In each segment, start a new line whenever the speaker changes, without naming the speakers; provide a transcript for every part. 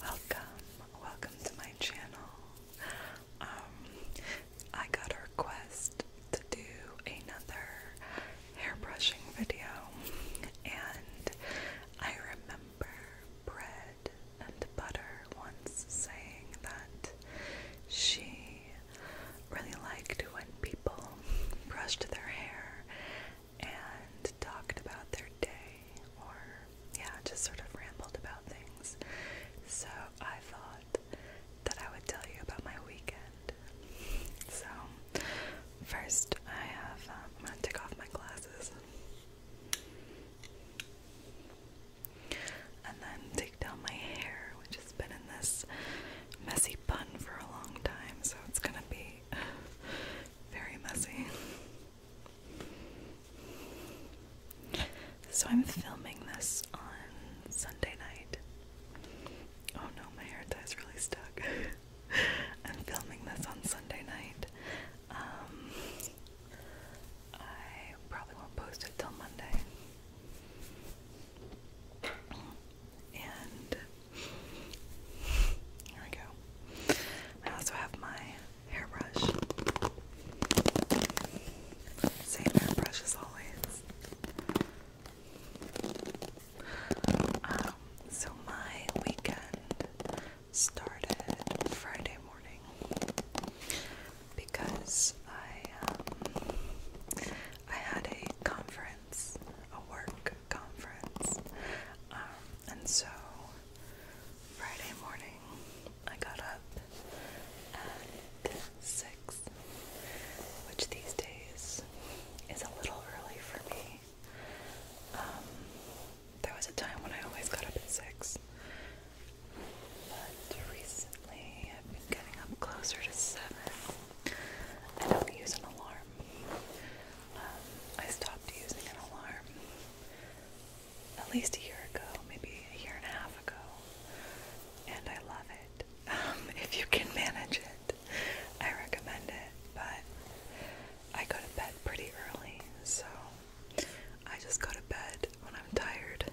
Welcome, welcome to my channel. Um, I got a request to do another hair brushing video, and I remember bread and butter once saying that she really liked when people brushed their hair and talked about their day or, yeah, just sort of rambled about things. So I thought that I would tell you about my weekend. So, first, I have, um, I'm gonna take off my glasses and then take down my hair, which has been in this messy bun for a long time, so it's gonna be very messy. So I'm filming this on Sunday night. Oh no, my hair tie's really stuck. I'm filming this on Sunday night. Um, I probably won't post it till Monday. And here we go. I also have my hairbrush. Same hairbrush as always. Um, so my weekend started Friday morning because I um, I had a conference, a work conference, um, and so Friday morning I got up at six, which these days is a little early for me. Um, there was a time when I always got up at six. But recently I've been getting up closer to 7. I don't use an alarm. Um, I stopped using an alarm at least a year ago, maybe a year and a half ago. And I love it. Um, if you can manage it, I recommend it. But I go to bed pretty early, so I just go to bed when I'm tired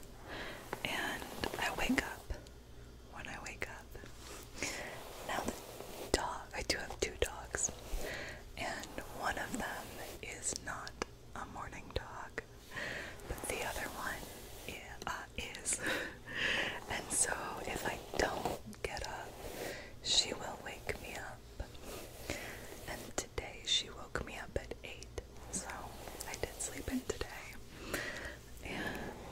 and I wake up when I wake up. Now, the dog, I do have two dogs, and one of them is not a morning dog, but the other one is. is. and so if I don't get up, she will wake me up. And today she woke me up at 8, so I did sleep in today.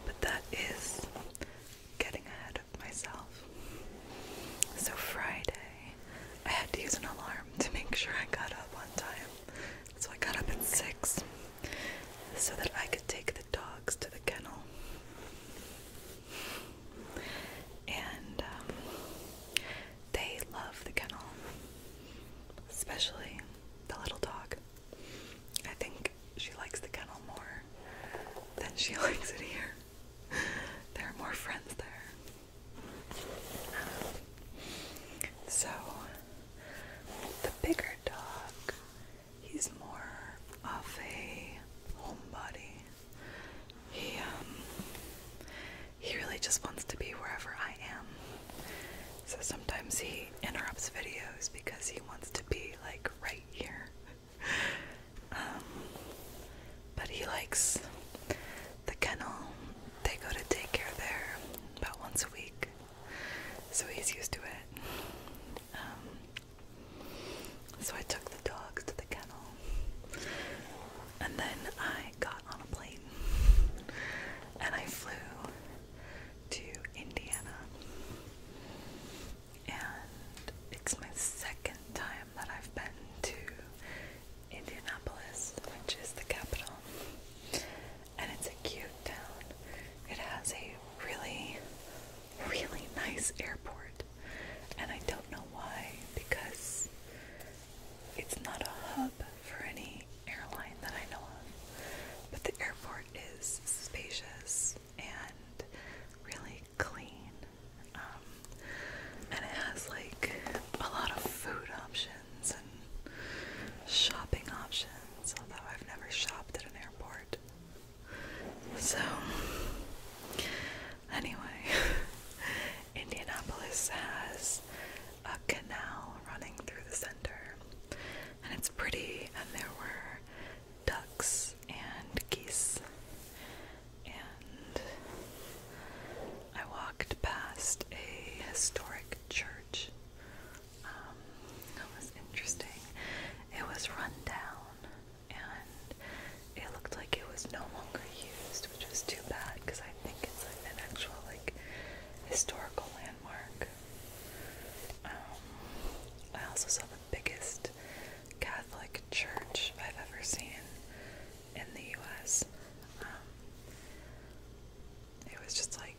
but that is getting ahead of myself. So Friday, I had to use an alarm to make sure I got up on time. So I got up at 6 so that I could take the dogs to the kennel. And um, they love the kennel, especially the little dog. I think she likes the kennel more than she likes it here. there are more friends there. So, the bigger dog, he's more of a homebody. He um he really just wants to be wherever I am. So sometimes he interrupts videos because he wants to be like right here. Um, but he likes the kennel. They go to take daycare there about once a week, so he's used to it. Um, so I took the dogs to the And then I got on a plane and I flew to Indiana. And it's my second time that I've been to Indianapolis, which is the capital. And it's a cute town. It has a really, really nice airport. And I don't know why, because it's not a hub for any airline that I know of, but the airport is spacious and really clean. Um, and it has like a lot of food options and shopping options, although I've never shopped at an airport. So, anyway, Indianapolis has a canal running through the center, and it's pretty, and there were ducks and geese. And I walked past a historic church. Um, was interesting. It was run down, and it looked like it was no longer used, which was too bad because I think it's like an actual like historical landmark. Um, I also saw the biggest Catholic church I've ever seen in the U.S. Um, it was just like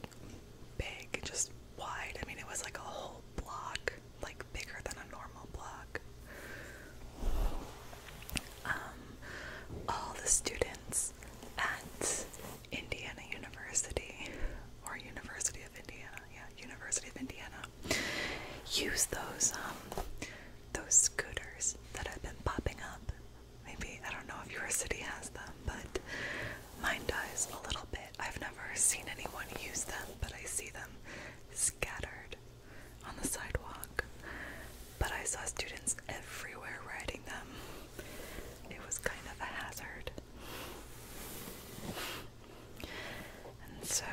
big, just wide. I mean, it was like a whole block, like bigger than a normal block. Um, all the students at Indiana University, or University of Indiana, yeah, University of Indiana, use those um, those scooters that have been popping up. Maybe I don't know if your city has them, but mine does a little bit. I've never seen anyone use them, but I see them scattered on the sidewalk, but I saw students everywhere riding them. It was kind of a hazard. And so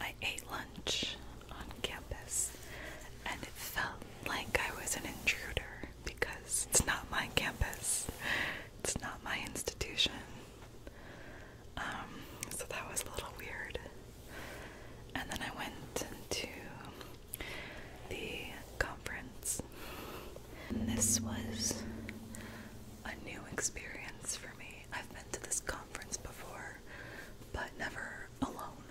I ate lunch on campus, and it felt like I was an intruder because it's not my campus, it's not my institution. Um, so that was a little weird. And then I went to the conference. And this was a new experience for me. I've been to this conference before, but never alone.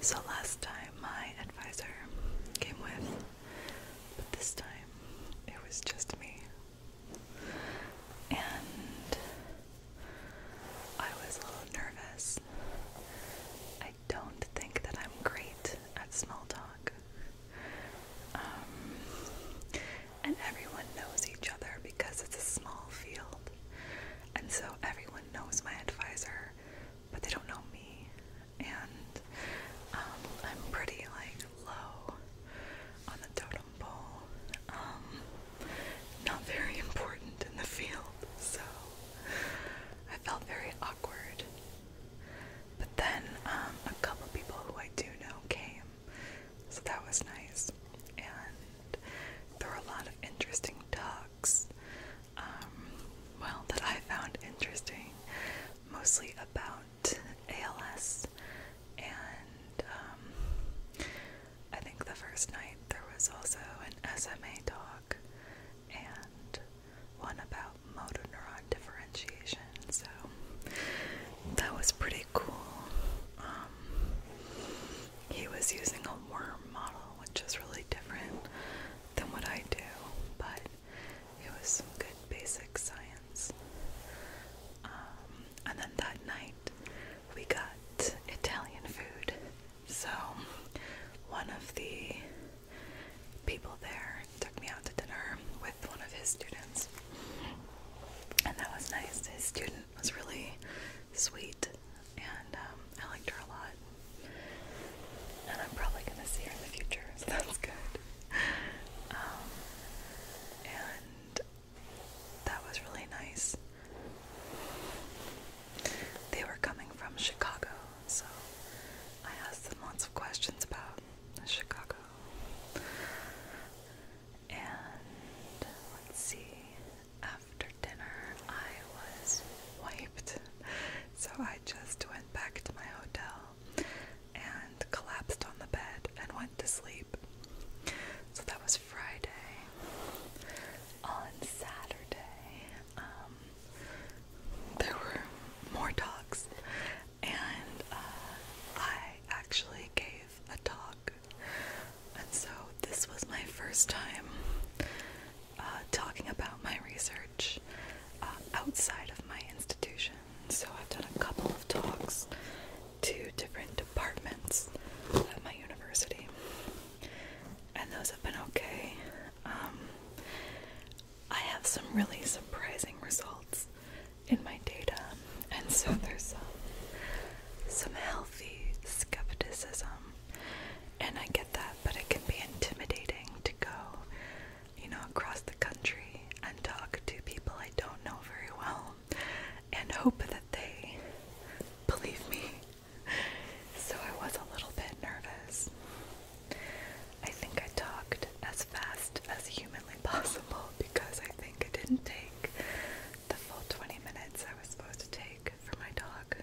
So last time my advisor came with, but this time it was just me and I was a little nervous. I don't think that I'm great at small talk. Um, and everyone knows each other because it's a small field. And so everyone knows my advisor, but they don't know me. And um, I'm pretty like low on the total. Um, not very important in the field, so I felt very awkward. But then um, a couple people who I do know came, so that was nice. And there were a lot of interesting talks. Um, well, that I found interesting, mostly about ALS, and um, I think the first night there was also an SMA talk and one about motor neuron differentiation, so that was pretty cool. Um, he was using a worm model, which is really different than what I do, but it was some good basic science. Um, and then that night we got Italian food. So one of the people there took me out to dinner with one of his students, and that was nice. His student was really sweet, and um, I liked her a lot. And I'm probably gonna see her in the future, so that's good. Um, and that was really nice. They were coming from Chicago, so I asked them lots of questions about Chicago. And let's see, after dinner I was wiped, so I just went back to my hotel and collapsed on the bed and went to sleep. So that was Friday. On Saturday, um, there were more talks, and uh, I actually gave a talk. And so this was my first time uh, talking about my research uh, outside of my institution. So I've done a couple of talks to different departments at my university, and those have been okay. Um, I have some really surprising results in my data, and so there's some healthy skepticism, and I get that, but it can be intimidating to go you know, across the country and talk to people I don't know very well and hope that they believe me. So I was a little bit nervous. I think I talked as fast as humanly possible because I think I didn't take the full 20 minutes I was supposed to take for my dog.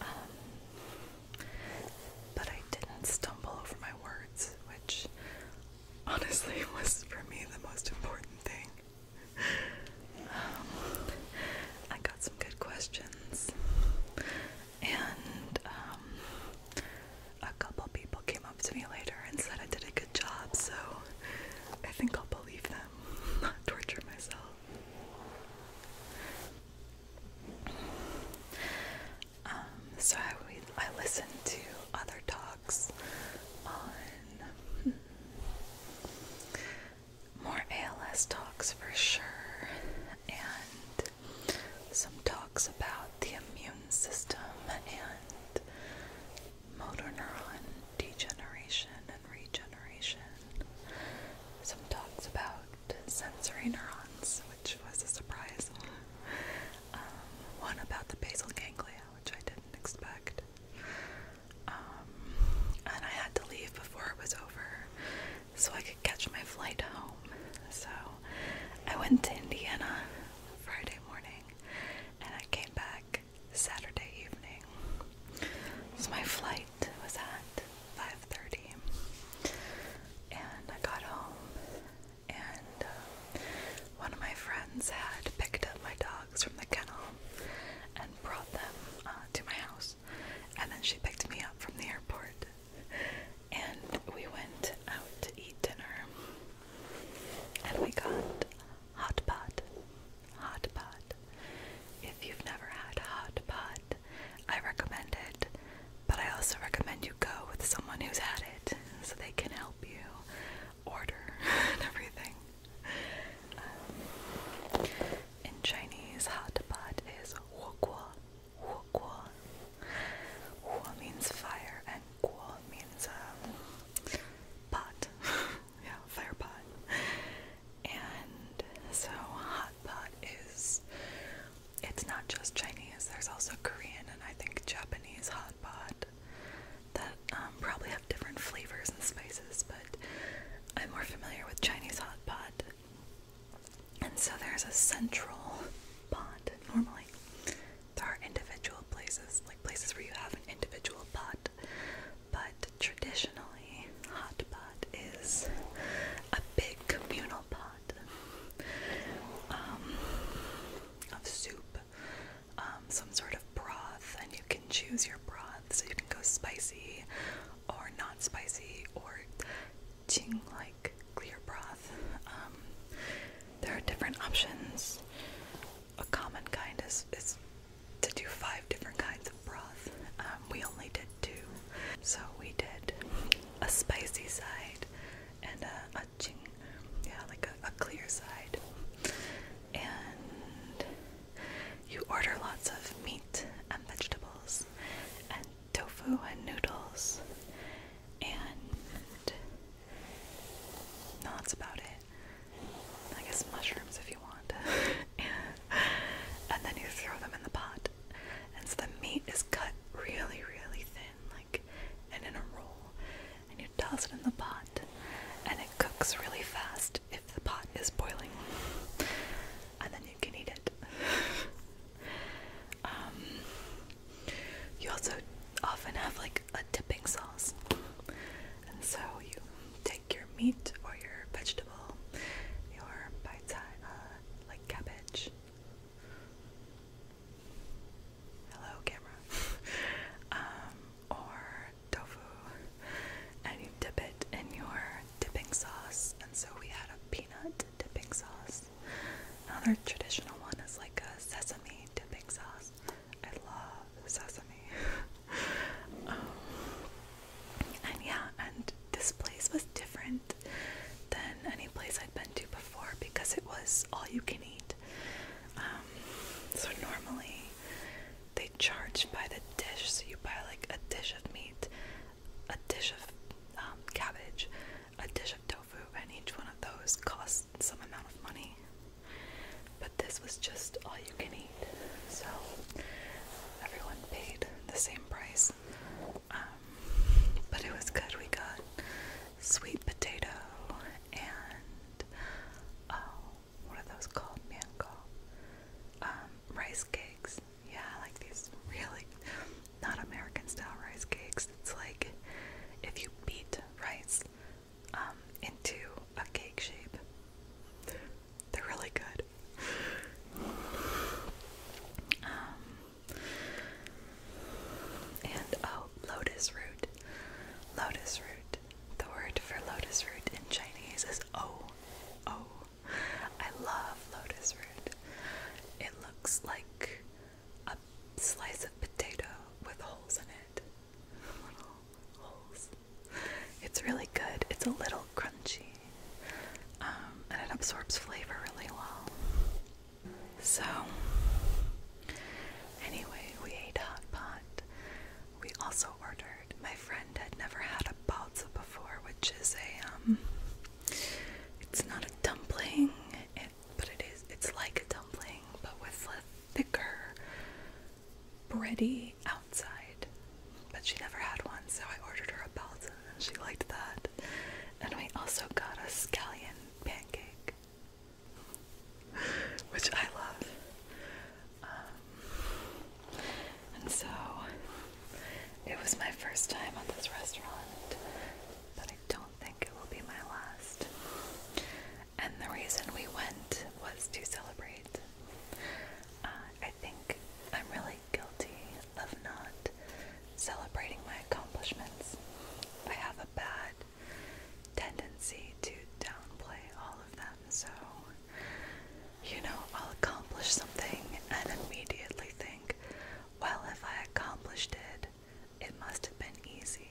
Um, but I didn't stumble over my words, which honestly was for me the most important thing. Um, I got some good questions, and um, a couple people came up to me later and said I did a good job, so I think I'll believe them, not torture myself. Um, so I, would, I listen to other talks on more ALS talks for sure, and some talks about the immune system and motor neuron degeneration and regeneration. Some talks about sensory neurons, which was a surprise. Um, one about the basal ganglia, which I didn't expect. Um, and I had to leave before it was over so I could catch my flight home. So I went to Indiana Friday morning and I came back Saturday evening. So my flight was at 5:30 and I got home and uh, one of my friends had picked up my dogs from the kennel and brought them uh, to my house, and then she picked me up from the airport, and we went out to eat dinner, and we got hot pot, hot pot. If you've never had hot pot, I recommend it, but I also recommend you go with someone who's had it so they can help you order and everything. Um, in Chinese, hot pot is huoguo. Huoguo. Huo means fire and guo means um, pot. yeah, fire pot. And so hot pot is it's not just Chinese, there's also Korean and I think Japanese hot pot that um, probably have different flavors and spices, but I'm more familiar with Chinese hot pot. And so there's a central pot normally. There are individual places, like places where you have an individual pot, but traditionally, hot pot is a big communal pot. Um, of soup, um, some sort of broth, and you can choose your broth. So you can go spicy or not spicy or ching like clear broth. Um, there are different options. A common kind is, is to do five different kinds of broth we only did two. So we did a spicy side and a, yeah, like a clear side. And you order lots of meat and vegetables and tofu and noodles and no, that's about it. I guess mushrooms if you want. and then you throw them in the pot and so the meat is cut really, really thin, like and in a roll, and you toss it in the pot, and it cooks really fast if the pot is boiling, and then you can eat it. um, you also often have like a dipping sauce, and so you take your meat or your vegetable, your bite uh, like cabbage, Hello, camera. Um, or tofu, and you dip it in your dipping sauce. And so we had a peanut dipping sauce. Another traditional one is like a sesame dipping sauce. I love sesame. Um, and yeah, and this place was different than any place I'd been to before because it was all you can eat. Um, so normally they charge by the dish, so you buy like a dish of meat, a dish of um, cabbage, a dish of tofu, and each one of those costs some amount of money. But this was just all you can eat, so everyone paid the same price. Um, but it was good. We got sweet potato and oh, what are those called? Mango. Um, rice cakes. Yeah, like these really not American style rice cakes. It's like if you beat rice um, into a cake shape. They're really good. Um, and oh, lotus root. Lotus root. The word for lotus root in Chinese is o, o. I love lotus root. It looks like a slice of potato with holes in it. holes. It's really good. It's a little crunchy. Um, and it absorbs flavor really well. So, anyway, we ate hot pot. We also ordered. My friend had never had a balza before, which is a um. It's not a dumpling, but it is. It's like a dumpling, but with a thicker, bready outside, but she never had one, so I ordered her a Belgian and she liked that. And we also got a scallion pancake, which I love. Um, and so it was my first time at this restaurant, but I don't think it will be my last. And the reason we went was to celebrate. Uh, I think I'm really guilty of not celebrating my accomplishments. I have a bad tendency to downplay all of them, so you know, I'll accomplish something and immediately think, well, if I accomplished it, it must have been easy,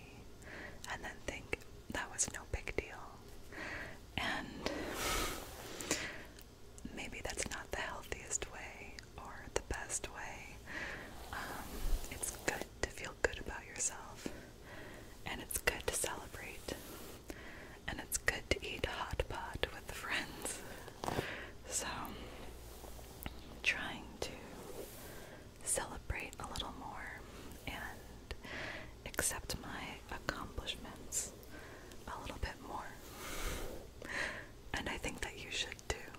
and then think that was no big deal. And maybe that's not the healthiest way or the best way. Um, it's good to feel good about yourself, and it's good to celebrate, and it's good to eat hot pot with friends. So, trying to celebrate a little more and accept my accomplishments a little bit more. And I think that you should too.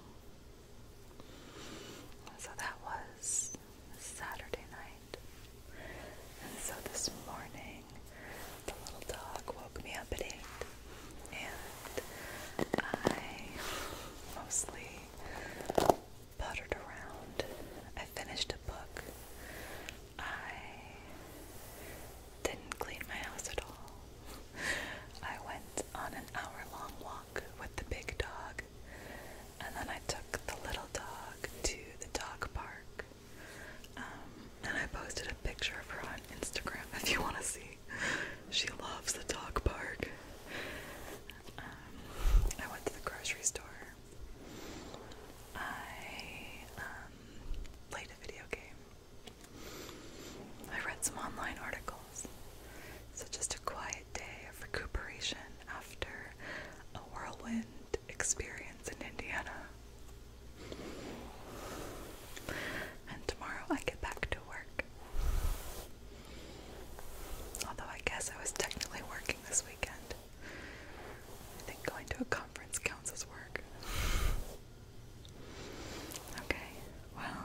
So that was Saturday night. And so this morning, the little dog woke me up at 8. And I mostly puttered around. I finished a book I didn't clean my house at all. I went on an hour long walk with the big dog, and then I took the little dog to the dog park. Um, and I posted a picture of her on Instagram if you want to see. She loves the dog park. Um, I went to the grocery store I um, played a video game. I read some online articles. So, just a quiet day of recuperation after a whirlwind experience in Indiana. And tomorrow I get back to work. Although I guess I was technically working this weekend. I think going to a conference counts as work. Okay, well,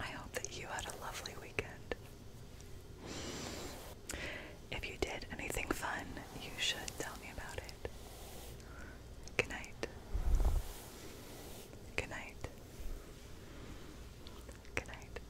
I hope that you had a lovely weekend. If you did anything fun, you should tell me about it. Good night. Good night. Good night.